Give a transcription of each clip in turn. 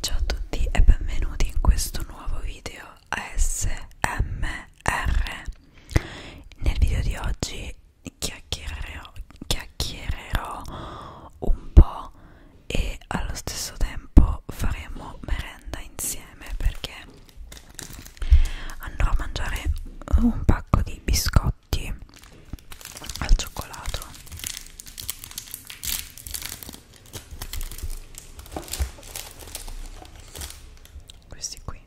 Ciao a tutti e benvenuti in questo nuovo video ASMR. Nel video di oggi chiacchiererò, chiacchiererò un po' e allo stesso tempo faremo merenda insieme perché andrò a mangiare un pacco di biscotti gatti al cioccolato questi qui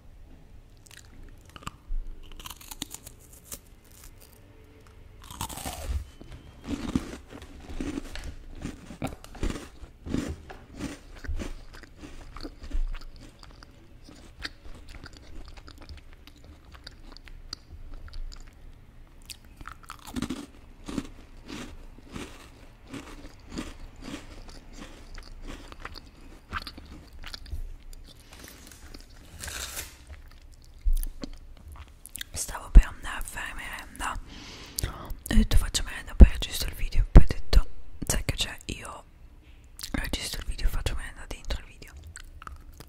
Stavo per andare a fare merenda. Ho detto faccio merenda, poi registro il video. Poi ho detto, sai che c'è? Io registro il video e faccio merenda dentro il video.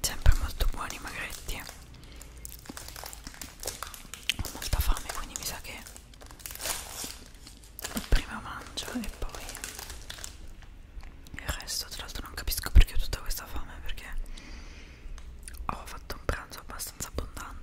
sempre molto buoni i magretti ho molta fame quindi mi sa che prima mangio e poi il resto tra l'altro non capisco perché ho tutta questa fame perché ho fatto un pranzo abbastanza abbondante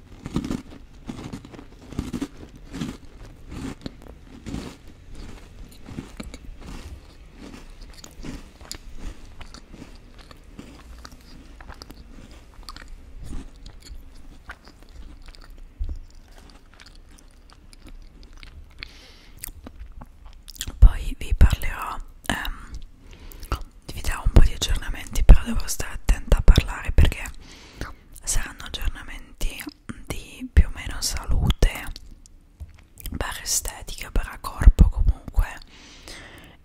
Poi vi parlerò, ehm, vi darò un po' di aggiornamenti, però devo stare attenta a parlare perché saranno aggiornamenti di più o meno salute per estetica, per corpo comunque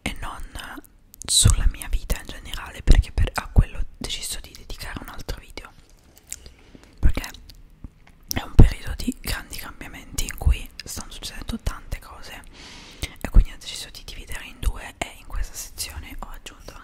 e non sulla mia vita in generale perché per, a quello ho deciso di dedicare un altro video perché è un periodo di grandi cambiamenti in cui stanno succedendo tante cose e quindi ho deciso di dividere in due e in questa sezione ho aggiunto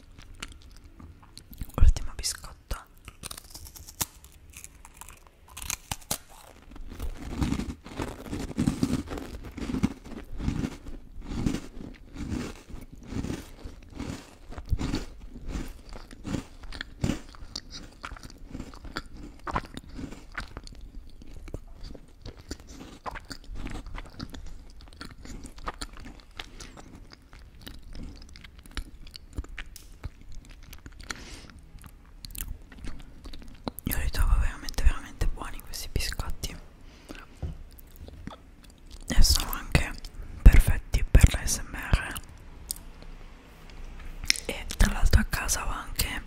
Ultimo biscotto. Io li trovo veramente veramente buoni questi biscotti e sono anche perfetti per l'ASMR e tra l'altro a casa ho anche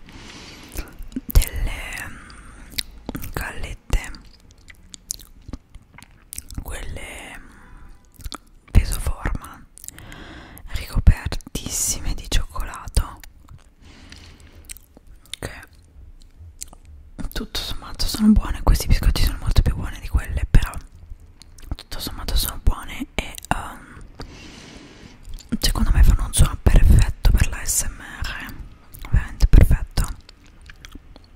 delle mm, gallette quelle mm, pesoforma ricopertissime di cioccolato che tutto sommato sono buone questi biscotti sono molto più buoni di quelle però tutto sommato sono buone e um, secondo me fanno un suono perfetto per l'ASMR veramente perfetto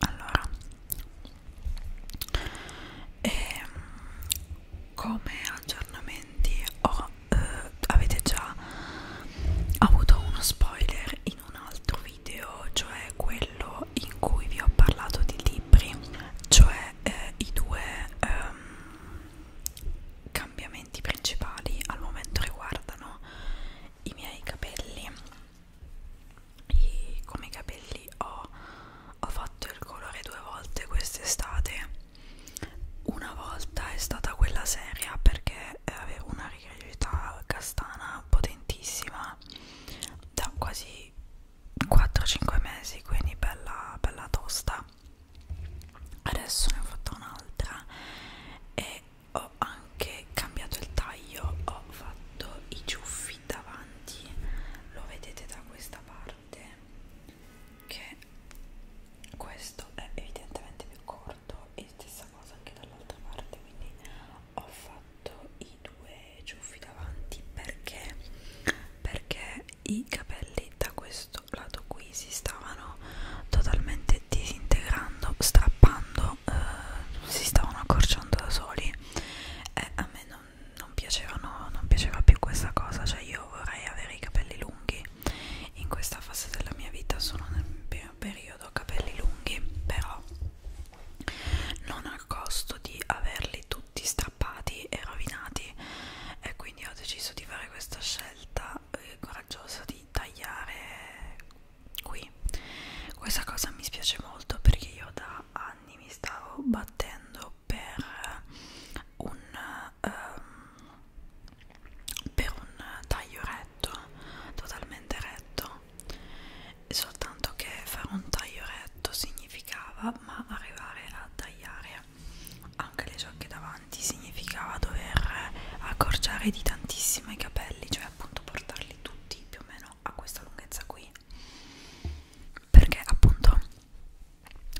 allora e, ehm, come aggiornamenti ho, eh, avete già avuto uno spoiler in un altro video cioè quello in cui vi ho parlato di libri cioè eh, i due ehm, cambiamenti principali al momento riguardano i miei capelli i, come i capelli ho, ho fatto il colore due volte quest'estate una volta è stata quella seria perché eh, avevo una rigidità castana potentissima da quasi 4-5 mesi quindi bella, bella tosta adesso ne ho fatta un'altra e ho anche anche cambiato il taglio ho fatto i ciuffi davanti lo vedete da questa parte che questo è evidentemente più corto e stessa cosa anche dall'altra parte quindi ho fatto i due ciuffi davanti perché perché i capelli da questo lato qui si stavano totalmente disintegrando strappando loro eh, si stavano accorciando da soli e eh, a me non, non, piacevano, non piaceva più questa cosa, cioè io vorrei avere i capelli lunghi, in questa fase della mia vita sono nel primo periodo capelli lunghi, però non al costo di averli tutti strappati e rovinati e quindi ho deciso di fare questa scelta eh, coraggiosa di tagliare qui questa cosa mi spiace molto perché io da anni mi stavo battendo per un, um, per un taglio retto totalmente retto soltanto che fare un taglio retto significava ma arrivare a tagliare anche le ciocche davanti significava dover accorciare di tantissimo i capelli cioè appunto portarli tutti più o meno almeno a questa lunghezza qui perché appunto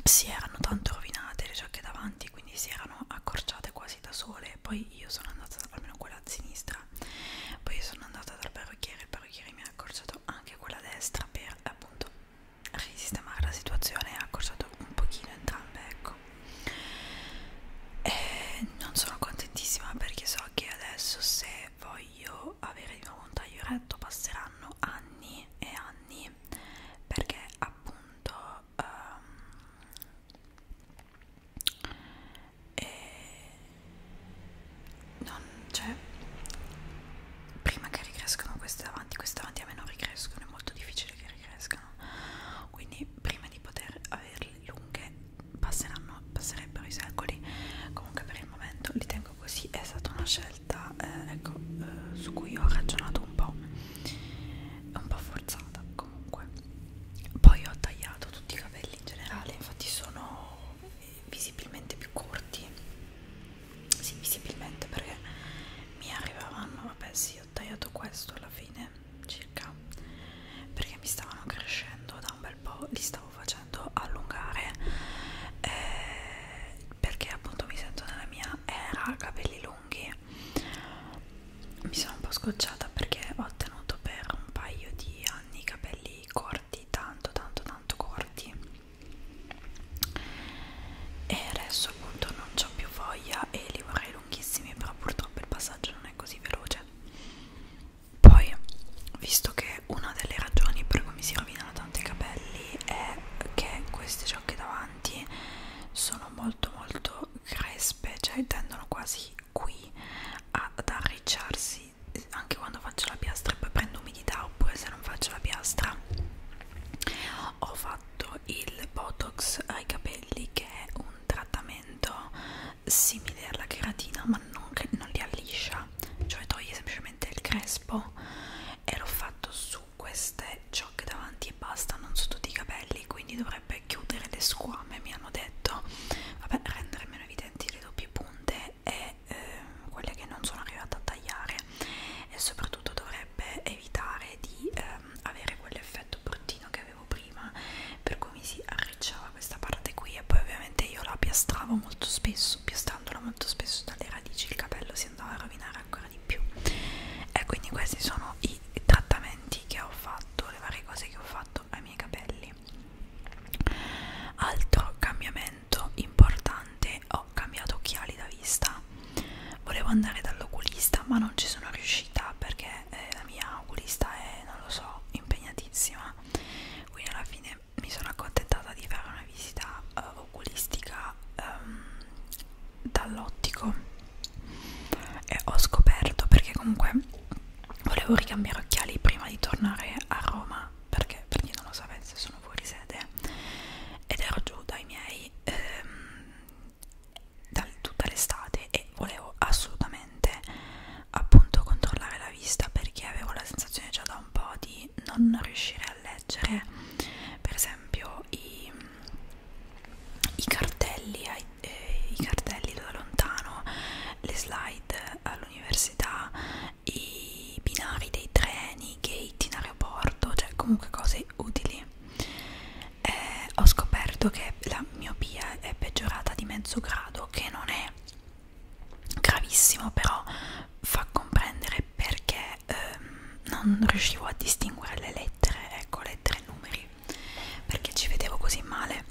si erano tanto rovinate le giacche davanti quindi si erano accorciate quasi da sole poi io sono andata almeno quella a sinistra poi sono andata dal parrucchiere il parrucchiere mi ha accorciato anche quella a destra per appunto risistemare la situazione ha accorciato un pochino entrambe ecco e non sono contentissima perché so che adesso se voglio avere di nuovo un taglio retto passeranno anni e anni perché appunto um, e non c'è cioè, prima che ricrescano queste davanti queste davanti a me non ricrescono è molto difficile che ricrescano quindi prima di poter averle lunghe passeranno, passerebbero i secoli comunque per il momento li tengo così è stata una scelta eh, ecco, eh, su cui ho ragionato un po' un po' forzata comunque poi ho tagliato tutti i capelli in generale infatti sono eh, visibilmente più corti sì visibilmente perché mi arrivavano vabbè sì ho tagliato questo alla fine circa perché mi stavano crescendo da un bel po', li stavo facendo allungare eh, perché appunto mi sento nella mia era capelli lunghi mi sono un po' scocciata perché ho tenuto per un paio di anni i capelli corti tanto tanto tanto corti e adesso appunto non ho più voglia e li vorrei lunghissimi però purtroppo il passaggio non è così veloce poi, visto che una delle ragioni per cui mi si rovinano tanti capelli è che queste ciocche davanti sono molto molto crespe, cioè tendono quasi qui ad arricciarsi anche quando faccio la piastra e poi prendo umidità oppure se non faccio la piastra ho fatto il botox ai capelli che è un trattamento simile alla cheratina ma non, non li alliscia cioè toglie semplicemente il crespo e l'ho fatto su queste ciocche davanti e basta non su tutti i capelli quindi dovrebbe chiudere le squame mi hanno detto vabbè rendere meno evidenti le doppie punte e eh, quelle che non sono arrivata a tagliare e soprattutto dovrebbe evitare di eh, avere quell'effetto bruttino che avevo prima per cui mi si arricciava questa parte qui e poi ovviamente io la piastravo molto spesso piastrandola molto spesso dalle radici il capello si andava a rovinare ancora di più e quindi questi sono i trattamenti che ho fatto le varie cose che ho fatto ai miei capelli altro cambiamento importante ho cambiato occhiali da vista volevo andare dall'oculista ma non ci sono riuscita perché eh, la mia augurista è, non lo so, impegnatissima quindi alla fine mi sono accontentata di fare una visita eh, oculistica ehm, dall'ottico e ho scoperto perché comunque volevo ricambiare occhiali prima di tornare a Roma perché per chi non lo sapesse sono fuori sede ed ero giù dai miei ehm, da tutta l'estate e volevo assolutamente appunto controllare la vista perché avevo la sensazione già da un po' di non riuscire a leggere per esempio i, i cartelli ai, eh, i cartelli da lontano le slide all'università i binari dei treni, i gate in aeroporto cioè comunque cose utili eh, ho scoperto che la miopia è peggiorata di mezzo grado, che non è gravissimo, però fa comprendere perché ehm, non riuscivo a distinguere le lettere, ecco, lettere e numeri, perché ci vedevo così male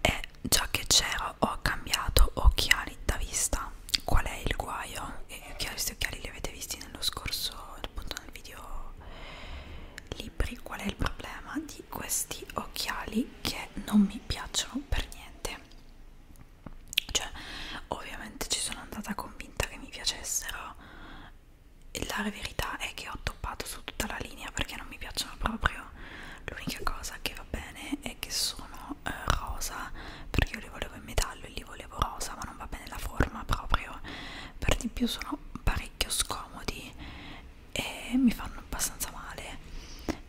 e già che c'ero ho cambiato occhiali da vista. Qual è il guaio? E questi occhiali li avete visti nello scorso, appunto nel video libri qual è il problema di questi occhiali che non mi piacciono per niente cioè ovviamente ci sono andata convinta che mi piacessero e la verità è che ho toppato su tutta la linea perché non mi piacciono proprio l'unica cosa che va bene è che sono eh, rosa perché io li volevo in metallo e li volevo rosa ma non va bene la forma proprio per di più sono parecchio scomodi e mi fanno abbastanza male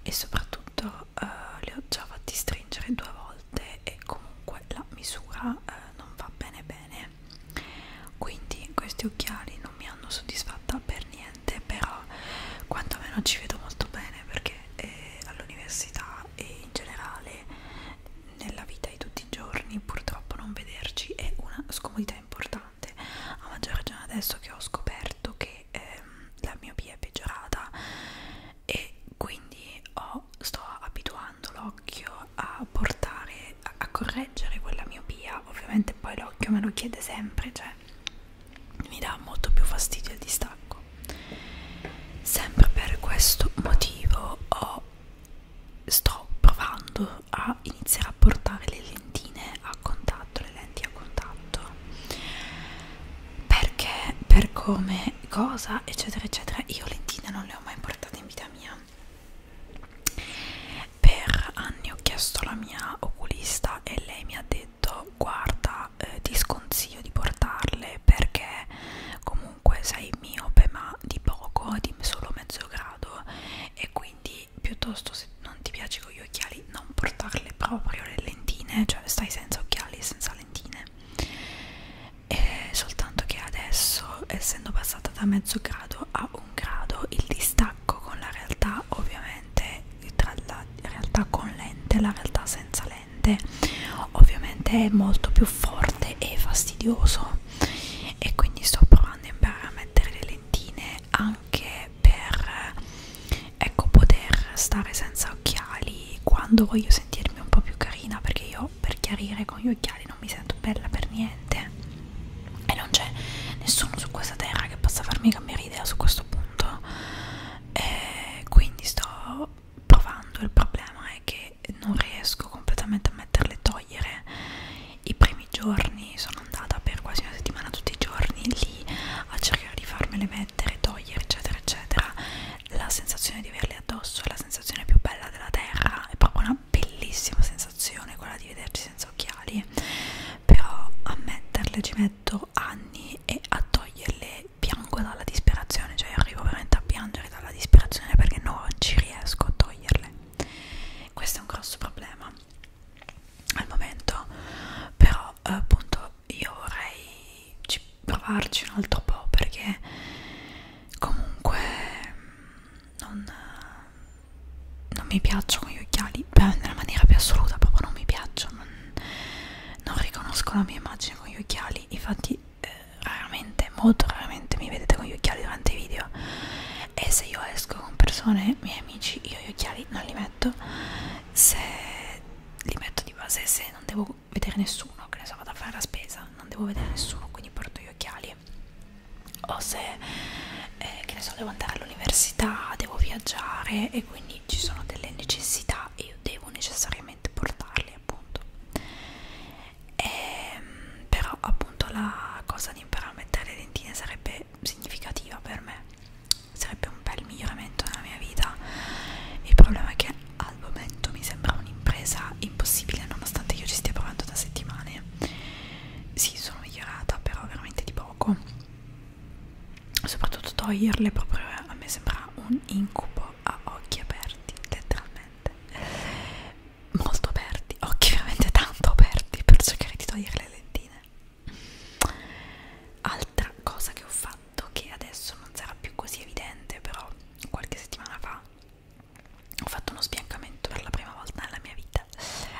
e soprattutto eh, li ho già fatti stringere due volte e comunque la misura eh, non va bene bene quindi questi occhiali non mi hanno soddisfatta per niente però quantomeno ci vedo molto bene perché eh, all'università e in generale nella vita di tutti i giorni purtroppo non vederci è una scomodità importante importante a maggior ragione adesso che ho scoperto che ehm, la miopia è peggiorata e quindi ho, sto abituando l'occhio a portare a, a correggere quella miopia ovviamente poi l'occhio me lo chiede sempre cioè mi dà molto più fastidio il distacco sempre per questo motivo ho sto provando a iniziare a portare le lentine a contatto, le lenti a contatto perché, per come, cosa, eccetera, eccetera. Io lentine non le ho mai portate in vita mia. Per anni ho chiesto alla mia oculista e lei mi ha detto: Guarda, eh, ti sconsiglio di portarle perché comunque sei miope, ma di poco, di solo mezzo grado, e quindi quindi piuttosto se non ti piace con gli occhiali non portarle proprio le lentine cioè stai senza occhiali e senza lentine e soltanto che adesso essendo passata da mezzo grado a un grado il distacco con la realtà ovviamente tra la realtà con lente e la realtà senza lente ovviamente è molto più forte e fastidioso e quindi sto provando a imparare a mettere le lentine anche per ecco poter stare senza occhiali quando voglio sentirmi un po' più carina perché io per chiarire con gli occhiali non mi sento bella per niente e non c'è nessuno su questa terra che possa farmi cambiare idea su questo punto e quindi sto provando il problema è che non riesco completamente a mettere le sciogliere. I primi giorni sono andata per quasi una settimana tutti i giorni lì a cercare di farmele mettere, togliere, eccetera, eccetera. La sensazione di averle addosso è la sensazione più bella della terra, è proprio una bellissima sensazione quella di vederci senza occhiali, però a metterle ci metto anni e a toglierle piango dalla disperazione, cioè arrivo veramente a piangere dalla disperazione perché no, non ci riesco a toglierle questo è un grosso problema al momento però appunto io vorrei provarci un altro po' perché comunque non, non mi piacciono gli occhiali Beh, nella maniera più assoluta proprio non mi piacciono non, non riconosco la mia immagine con gli occhiali infatti eh, raramente molto raramente sicuramente mi vedete con gli occhiali durante i video e se io esco con persone, miei amici, io gli occhiali non li metto se li metto di base se non devo vedere nessuno, che ne so, vado a fare la spesa non devo vedere nessuno, quindi porto gli occhiali o se, eh, che ne so, devo andare all'università, devo viaggiare e quindi ci sono delle necessità e io devo necessariamente portarli appunto e, ehm, però appunto la cosa di imparare a mettere le dentine sarebbe significativa per me sarebbe un bel miglioramento nella mia vita il problema è che al momento mi sembra un'impresa impossibile nonostante io ci stia provando da settimane sì sono migliorata però veramente di poco soprattutto toglierle proprio a me sembra un incubo a occhi aperti letteralmente molto aperti, occhi ovviamente tanto aperti per cercare di togliere le lentine. Altra cosa che ho fatto, che adesso non sarà più così evidente, però qualche settimana fa ho fatto uno sbiancamento per la prima volta nella mia vita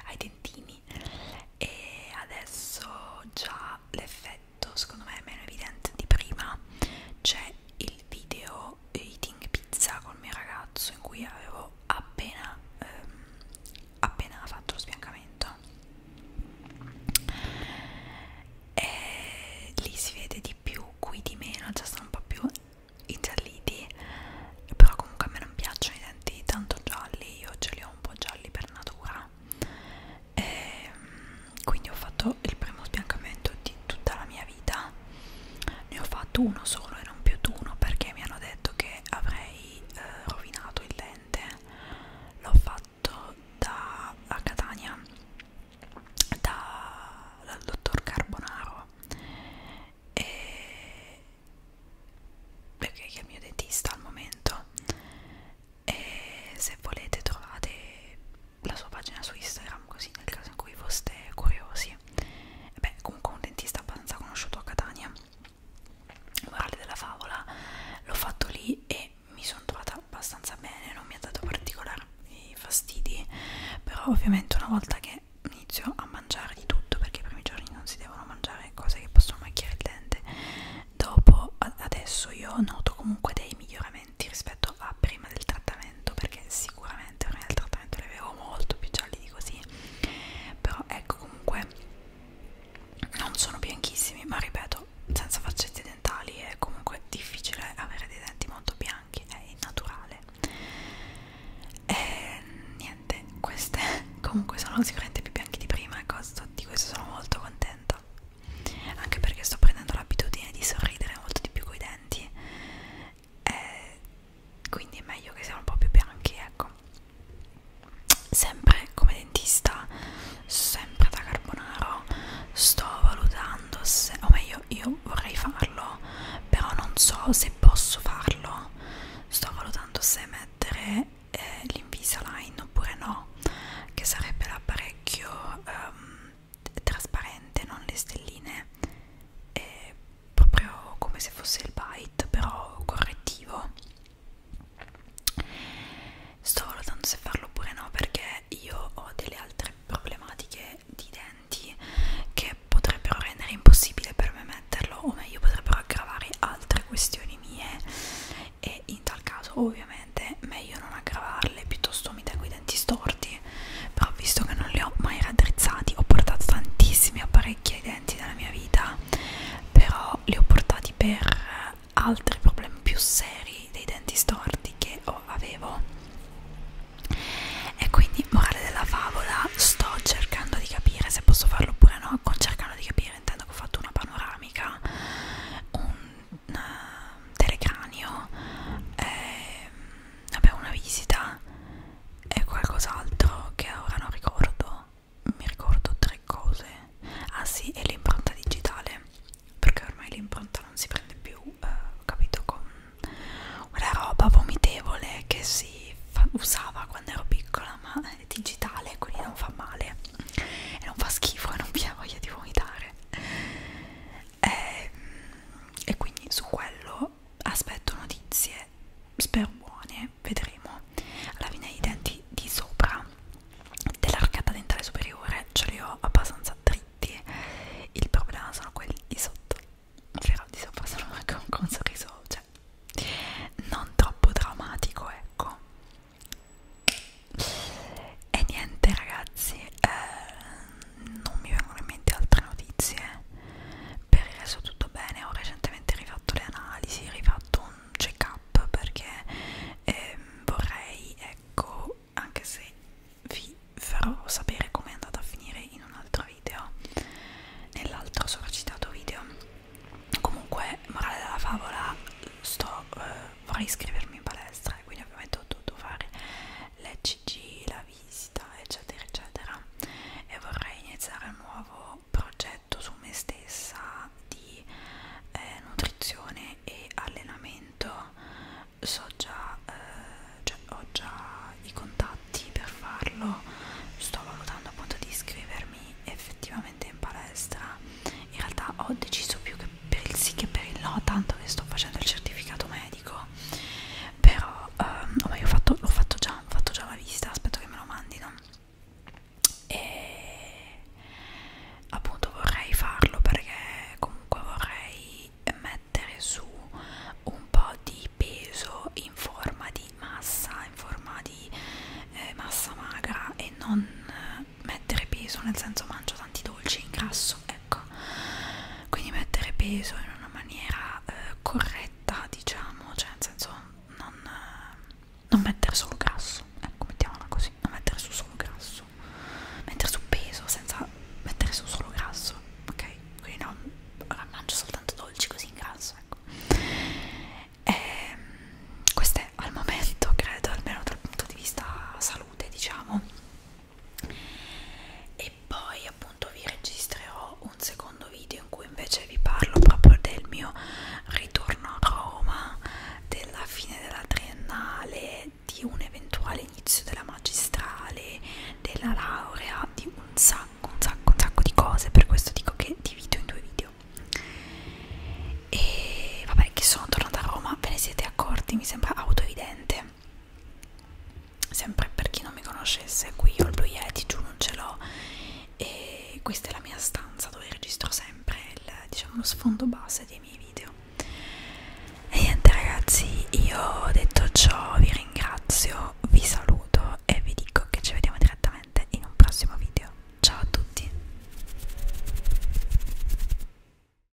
ai dentini e adesso già l'effetto secondo me è meno evidente di prima c'è il video Eating Pizza col mio ragazzo in cui avevo appena, ehm, appena fatto lo sbiancamento e lì si vede di più, qui di meno, già sono un po' più ingialliti però comunque a me non piacciono i denti tanto gialli, io ce li ho un po' gialli per natura e, ehm, quindi ho fatto il primo sbiancamento di tutta la mia vita ne ho fatto uno solo e non più di uno perché mi hanno detto che avrei eh, rovinato il lente l'ho fatto da a Catania da, dal dottor Carbonaro e perché è il mio dentista al momento e se volete trovate la sua pagina su Instagram così nel caso in cui foste curiosi perché beh comunque un dentista abbastanza conosciuto a Catania morale della favola l'ho fatto lì e mi sono trovata abbastanza bene non mi ha dato particolari eh, fastidi però ovviamente una volta che inizio a mangiare di tutto perché i primi giorni non si devono mangiare cose che possono macchiare il dente dopo adesso io noto comunque dei miglioramenti rispetto a prima del trattamento trattamento perché sicuramente ormai nel trattamento li avevo molto più gialli di così però ecco comunque non sono bianchissimi ma ripeto senza faccette dentali è comunque difficile avere dei denti molto bianchi è naturale e niente queste comunque sono sicuramente più bianchi di prima e di questo sono molto contenta anche perché sto prendendo l'abitudine di sorridere molto di più coi denti eh, quindi è meglio che siano un po' più bianchi ecco sempre come dentista sempre da carbonaro sto valutando se, o meglio io vorrei farlo però non so se posso farlo sto valutando se mettere eh, l'invisalign oppure no che sarebbe l'apparecchio ehm, trasparente, non le stelline, è proprio come se fosse il bite, però correttivo. Sto valutando se farlo oppure no, perché io ho delle altre problematiche di denti che potrebbero rendere impossibile per me metterlo, o meglio, potrebbero aggravare altre questioni mie. E in tal caso, ovviamente, meglio non aggravarle, piuttosto mi tengo i denti storti però visto che non li ho mai raddrizzati ho portato tantissimi apparecchi ai denti nella mia vita però li ho portati per altri problemi più seri dei denti storti che avevo e quindi morale della favola sto cercando di capire se posso farlo oppure no cercando di capire intendo che ho fatto una panoramica un, un eh, telecranio ehm, vabbè una visita e qualcos'altro che ora non ricordo mi ricordo tre cose ah sì e l'impronta digitale perché ormai l'impronta non si prende più eh, ho capito con una roba vomitevole che si usava quando ero piccola ma è digitale quindi non fa male e non fa schifo e non vi ha voglia di vomitare eh, e quindi su quello aspetto notizie spero buone vedremo alla fine i denti di sopra dell'arcata dentale superiore ce li ho abbastanza dritti il problema sono quelli di sotto però di sopra sono anche un, un sorriso cioè non troppo drammatico ecco e niente ragazzi eh, non mi vengono in mente altre notizie per il resto tutto bene ho recentemente rifatto le analisi rifatto un check up perché eh, vorrei ecco anche se vi farò sapere come è andata a finire in un altro video nell'altro sovracitato video comunque morale della favola sto eh, vorrei iscrivermi in palestra e quindi ovviamente ho dovuto fare le CG, la visita, eccetera, eccetera. E vorrei iniziare un nuovo progetto su me stessa di eh, nutrizione e allenamento. So già, eh, cioè, ho già i contatti per farlo. Sto valutando appunto di iscrivermi effettivamente in palestra. In realtà ho deciso più che per il sì che per il no tanto che sto facendo il certificato medico però ehm, ormai oh, l'ho fatto, fatto già ho fatto già la visita aspetto che me lo mandino e appunto vorrei farlo perché comunque vorrei mettere su un po' di peso in forma di massa in forma di eh, massa magra e non mettere peso nel senso mangio tanti dolci ingrasso ecco quindi mettere peso in una maniera eh, corretta diciamo cioè nel senso non, eh, non mettere solo grasso ecco mettiamola così non mettere su solo grasso mettere su peso senza mettere su solo grasso ok quindi no ora mangio soltanto dolci così in grasso ecco e, ehm, questo è al momento credo almeno dal punto di vista salute diciamo e poi appunto vi registrerò un secondo video in cui invece vi parlo proprio del mio ritorno a Roma della fine della triennale di un eventuale inizio della magistrale della laurea di un sacco un sacco un sacco di cose per questo dico che divido in due video e vabbè che sono tornata a Roma ve ne siete accorti mi sembra autoevidente sempre per chi non mi conoscesse qui ho il Blue Yeti giù non ce l'ho e questa è la mia stanza dove registro sempre il, diciamo, lo sfondo base dei miei video e niente ragazzi io detto ciò vi ringrazio vi saluto e vi dico che ci vediamo direttamente in un prossimo video ciao a tutti